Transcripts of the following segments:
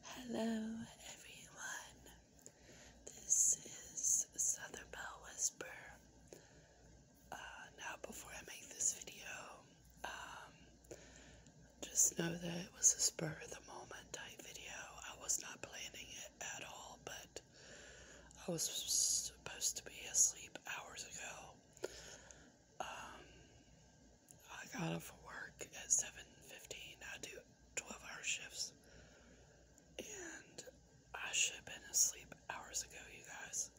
Hello, everyone. This is Southern Bell Whisper. Uh, now, before I make this video, um, just know that it was a spur of the moment type video. I was not planning it at all, but I was supposed to be asleep hours ago. Um, I got off of work at 7.15. I do 12-hour shifts. And I should have been asleep hours ago, you guys.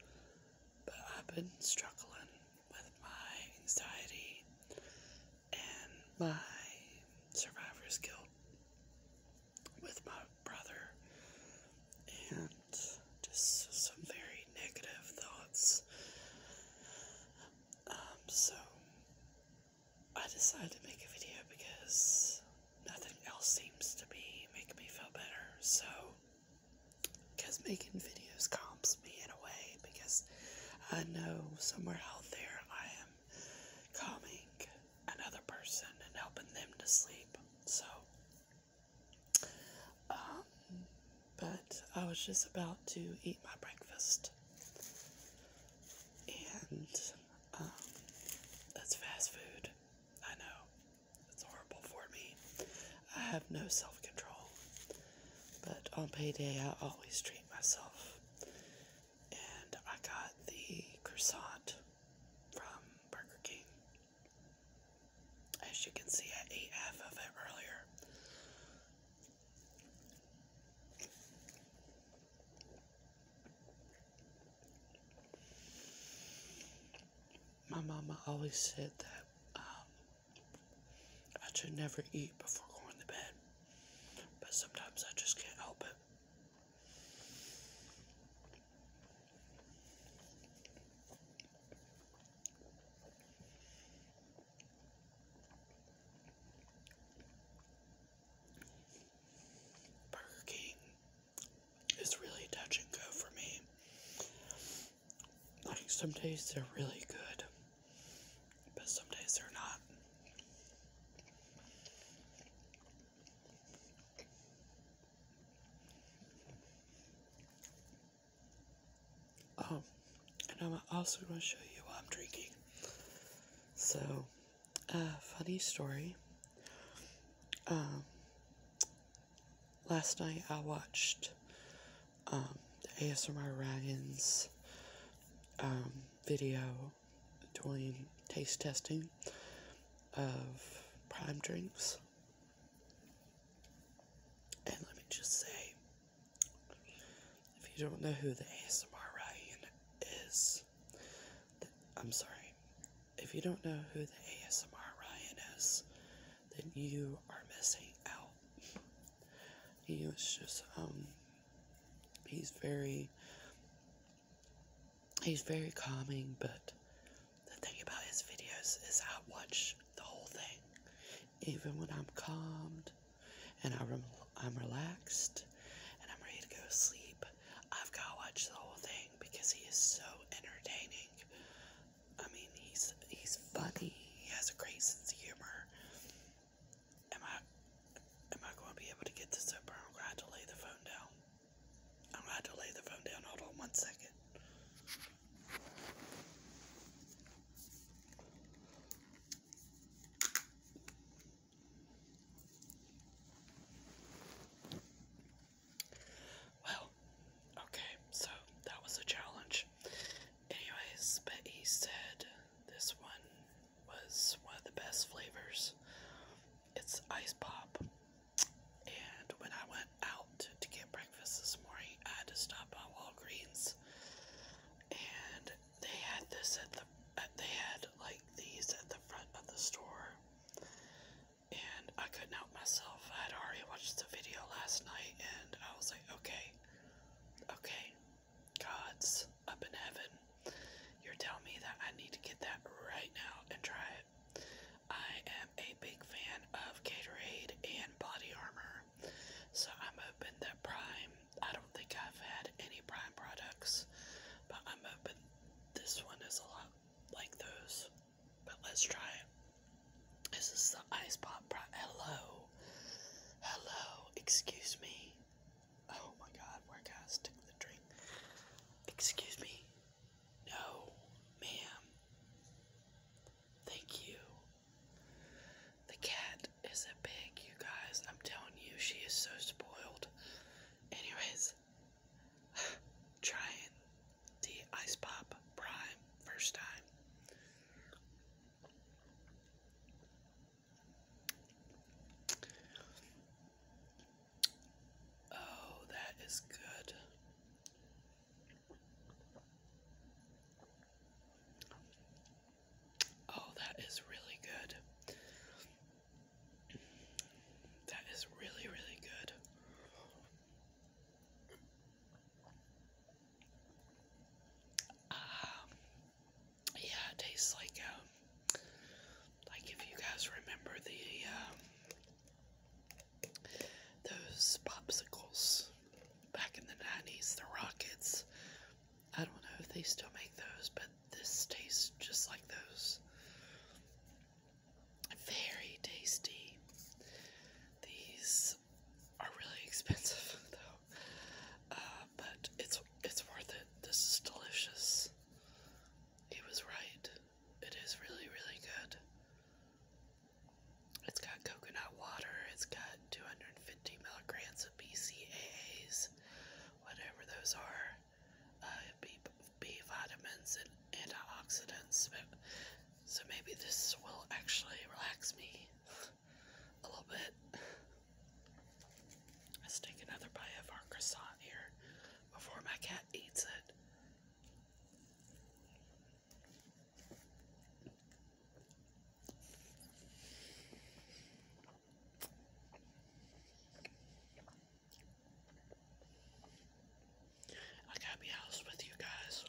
But I've been struggling with my anxiety and my survivor's guilt with my brother and just some very negative thoughts um, so I decided to make a video because nothing else seems to be making me feel better. So, because making videos calms me in a way, because I know somewhere out there I am calming another person and helping them to sleep. So, um, but I was just about to eat my breakfast. And um, that's fast food. I know. It's horrible for me. I have no self control. But on payday, I always treat myself. And I got the croissant from Burger King. As you can see, I ate half of it earlier. My mama always said that um, I should never eat before going to bed, but sometimes I just can't help it. Burger King is really touch and go for me. Like, some days they're really good, but some days they're not. Um, and I'm also going to show you what I'm drinking. So, a uh, funny story. Um, last night I watched um, ASMR Ryan's um, video doing taste testing of prime drinks. And let me just say, if you don't know who the ASMR Ryan is, then, I'm sorry. If you don't know who the ASMR Ryan is, then you are missing out. He was just um he's very he's very calming, but the thing about his videos is I watch the whole thing. Even when I'm calmed and I'm relaxed and I'm ready to go to sleep. I've got to watch the whole thing because he is so entertaining. I mean, he's he's funny. He has a great sense of humor. Am I am I going to be able to get this over? I'm going to lay the phone down. I'm going to lay the phone down. Hold on one second. Well, okay, so that was a challenge. Anyways, but he said this one was one of the best flavors. It's ice pop. And when I went out to get breakfast this morning, I had to stop at Walgreens and they had this at the they had like these at the front of the store and I couldn't help myself. I had already watched the video last night and I was like, okay, okay, God's up in heaven. You're telling me that I need to get that right now and try it. I am a big fan of Gatorade and Body Armor, so I'm hoping that Prime I don't think I've had any Prime products, but I'm open. this one is a lot like those. But let's try it. This is the Ice Pop Prime. Hello. Hello. Excuse me. Oh my god, where can I stick the drink? Excuse me. No, ma'am. Thank you. The cat is a pig, you guys. I'm telling you, she is so spoiled. Anyways, trying the Ice Pop Prime first time. Oh, that is good. Oh, that is really good. That is really, really good. Um, yeah, it tastes like, um, like if you guys remember the, um, those popsicles back in the 90s, the rockets I don't know if they still make those, but this tastes just like those. Very tasty. These are really expensive though, uh, but it's it's worth it. This is delicious. He was right. It is really really good. It's got coconut water. It's got 250 milligrams of BCAAs whatever those are, uh, B, B vitamins and antioxidants. So maybe this will actually relax me a little bit. Let's take another bite of our croissant here before my cat eats it. I gotta be honest with you guys.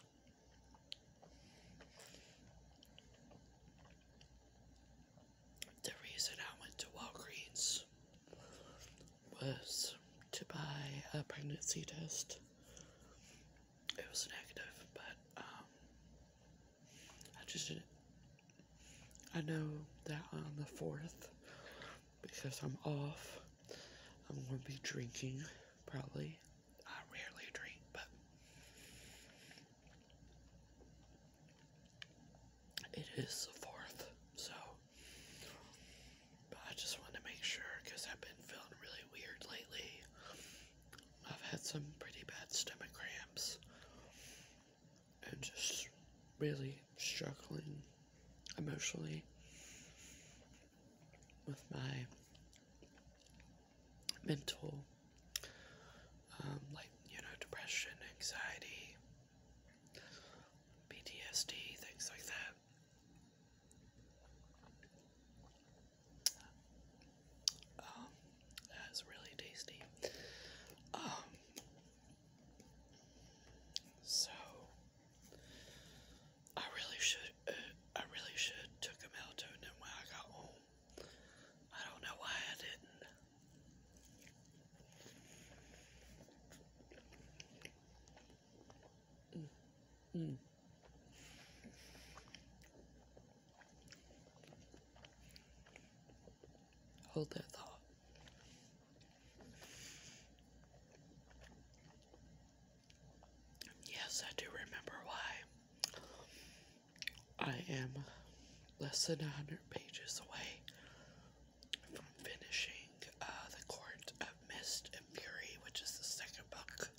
The reason I went to Walgreens was to buy a pregnancy test. It was negative, but um, I just I know that on the 4th, because I'm off, I'm going to be drinking, probably. I rarely drink, but it is the 4th, so. But I just want to make sure, because I've been feeling really weird lately. I've had some pretty bad stomach cramps and just really struggling emotionally with my mental, um, like, you know, depression, anxiety, PTSD, things like that. Um, that's really tasty. Um, so I really should, uh, I really should took a melatonin when I got home. I don't know why I didn't. Mm. mm. Hold that thought. Yes, I do remember why. I am less than a 100 pages away from finishing uh, The Court of Mist and Fury, which is the second book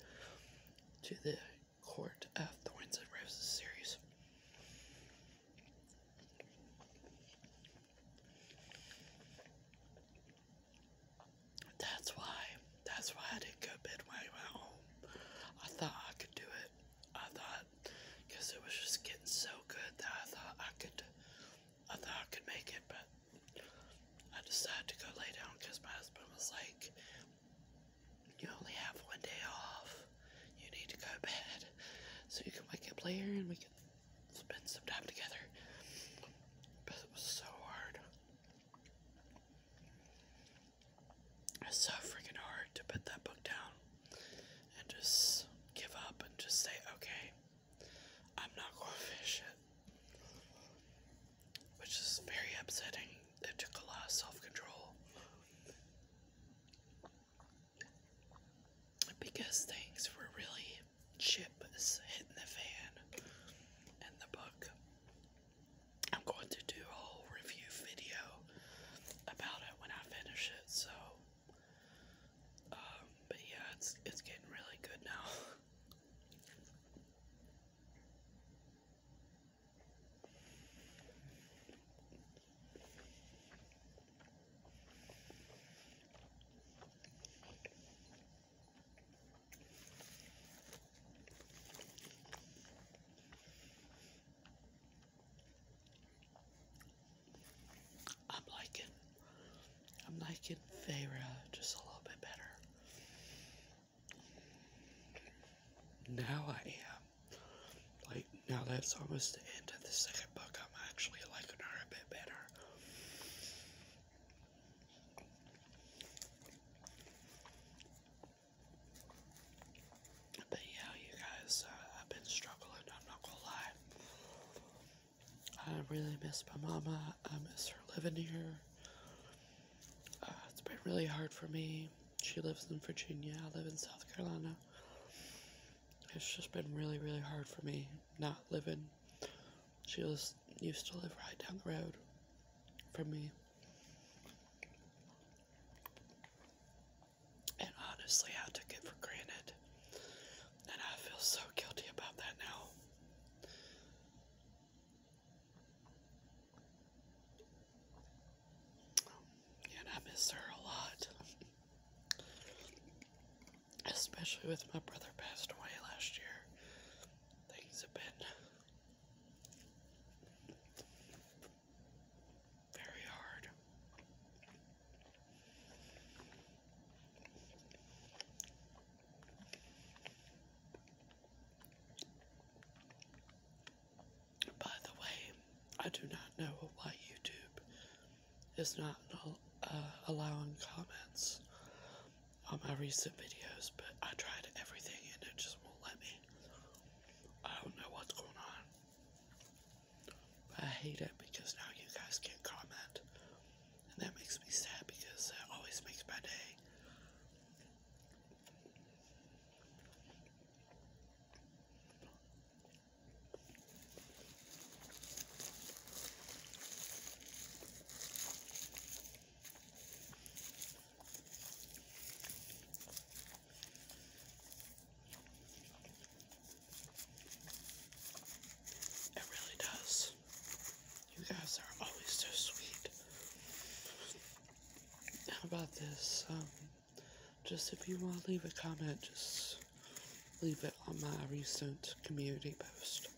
to the court of the Winds and Roses series. That's why, that's why I didn't go bed when home. I thought I could do it. I thought, because it was just getting so good that I thought I could, I thought I could make it, but I decided to go lay down because my husband was like, you only have one day off. You need to go to bed so you can wake up later and we can spend some time together. But it was so hard. It's so freaking hard to put that book down and just give up and just say, okay, I'm not going to finish it. Which is very upsetting. It took a lot of self control because things were really chips hitting the fan and the book. I'm going to do a whole review video about it when I finish it, so um, but yeah it's it's getting really good now. I'm liking I'm liking Feyre just a little bit better. Now I am. Like, now that's almost the end of the second book. I'm actually liking her a bit better. But yeah, you guys, uh, I've been struggling, not gonna lie. I really miss my mama, I miss her living here. Uh, it's been really hard for me. She lives in Virginia. I live in South Carolina. It's just been really, really hard for me not living. She was used to live right down the road for me. And honestly, I took it for granted. And I feel so guilty about that now. And I miss her a lot. Especially with my brother passed away last year. Things have been very hard. By the way, I do not know why YouTube is not uh, allowing comments on my recent videos, but I tried everything and it just won't let me. I don't know what's going on. I hate it because now you guys can't comment. And that makes me sad because it always makes my day. It really does. You guys are always so sweet. How about this? Um, just if you want to leave a comment, just leave it on my recent community post.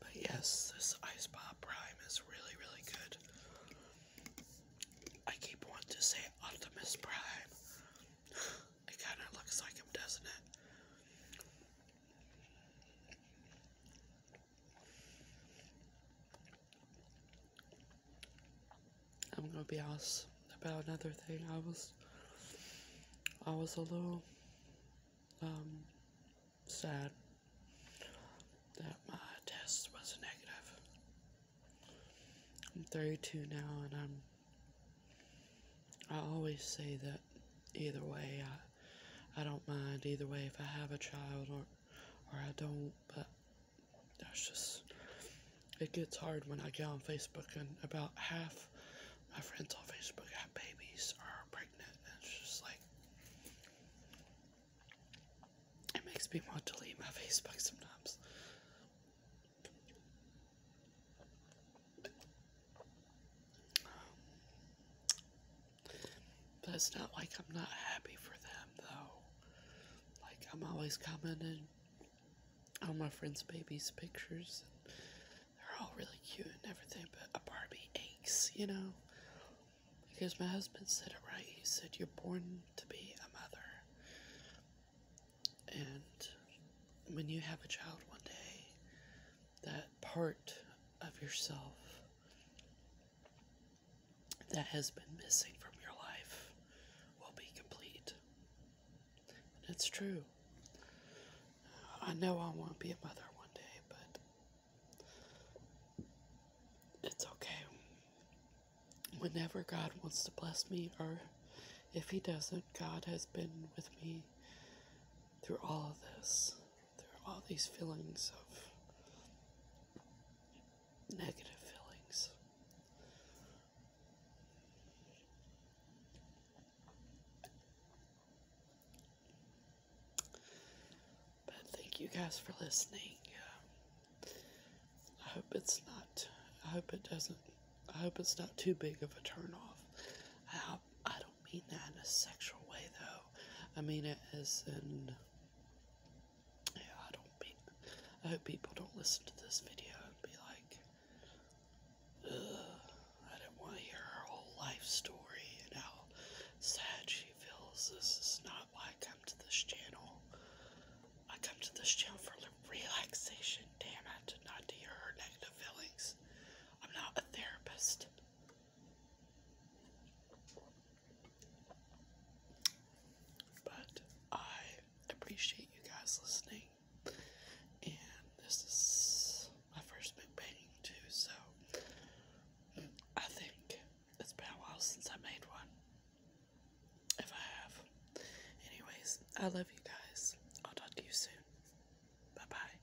But yes, this Ice Pop Prime is really, really good. I keep wanting to say Optimus Prime. It kind of looks like him, doesn't it? I'm gonna be honest about another thing. I was, I was a little, um, sad that my test was negative. I'm 32 now, and I'm I always say that either way, I, I don't mind either way if I have a child or, or I don't, but that's just, it gets hard when I get on Facebook and about half my friends on Facebook have babies or are pregnant. And it's just like, it makes me want to leave my Facebook sometimes. But it's not like I'm not happy for them, though. Like, I'm always commenting on my friends' babies' pictures. And they're all really cute and everything, but a Barbie of aches, you know? Because my husband said it right. He said, You're born to be a mother. And when you have a child one day, that part of yourself that has been missing from your life will be complete. And it's true. I know I won't be a mother one day, but it's okay. Whenever God wants to bless me, or if He doesn't, God has been with me through all of this there are all these feelings of negative feelings. But thank you guys for listening. I hope it's not, I hope it doesn't, I hope it's not too big of a turn off. I, I mean that in a sexual way, though. I mean it as in. Yeah, I don't mean. I hope people don't listen to this video and be like, ugh, I do not want to hear her whole life story and how sad she feels. This is not why I come to this channel. I come to this channel for relaxation, damn I did not to hear her negative feelings. I'm not a therapist. But I appreciate you guys listening. And this is my first big mukbang too, so I think it's been a while since I made one. If I have. Anyways, I love you guys. I'll talk to you soon. Bye bye.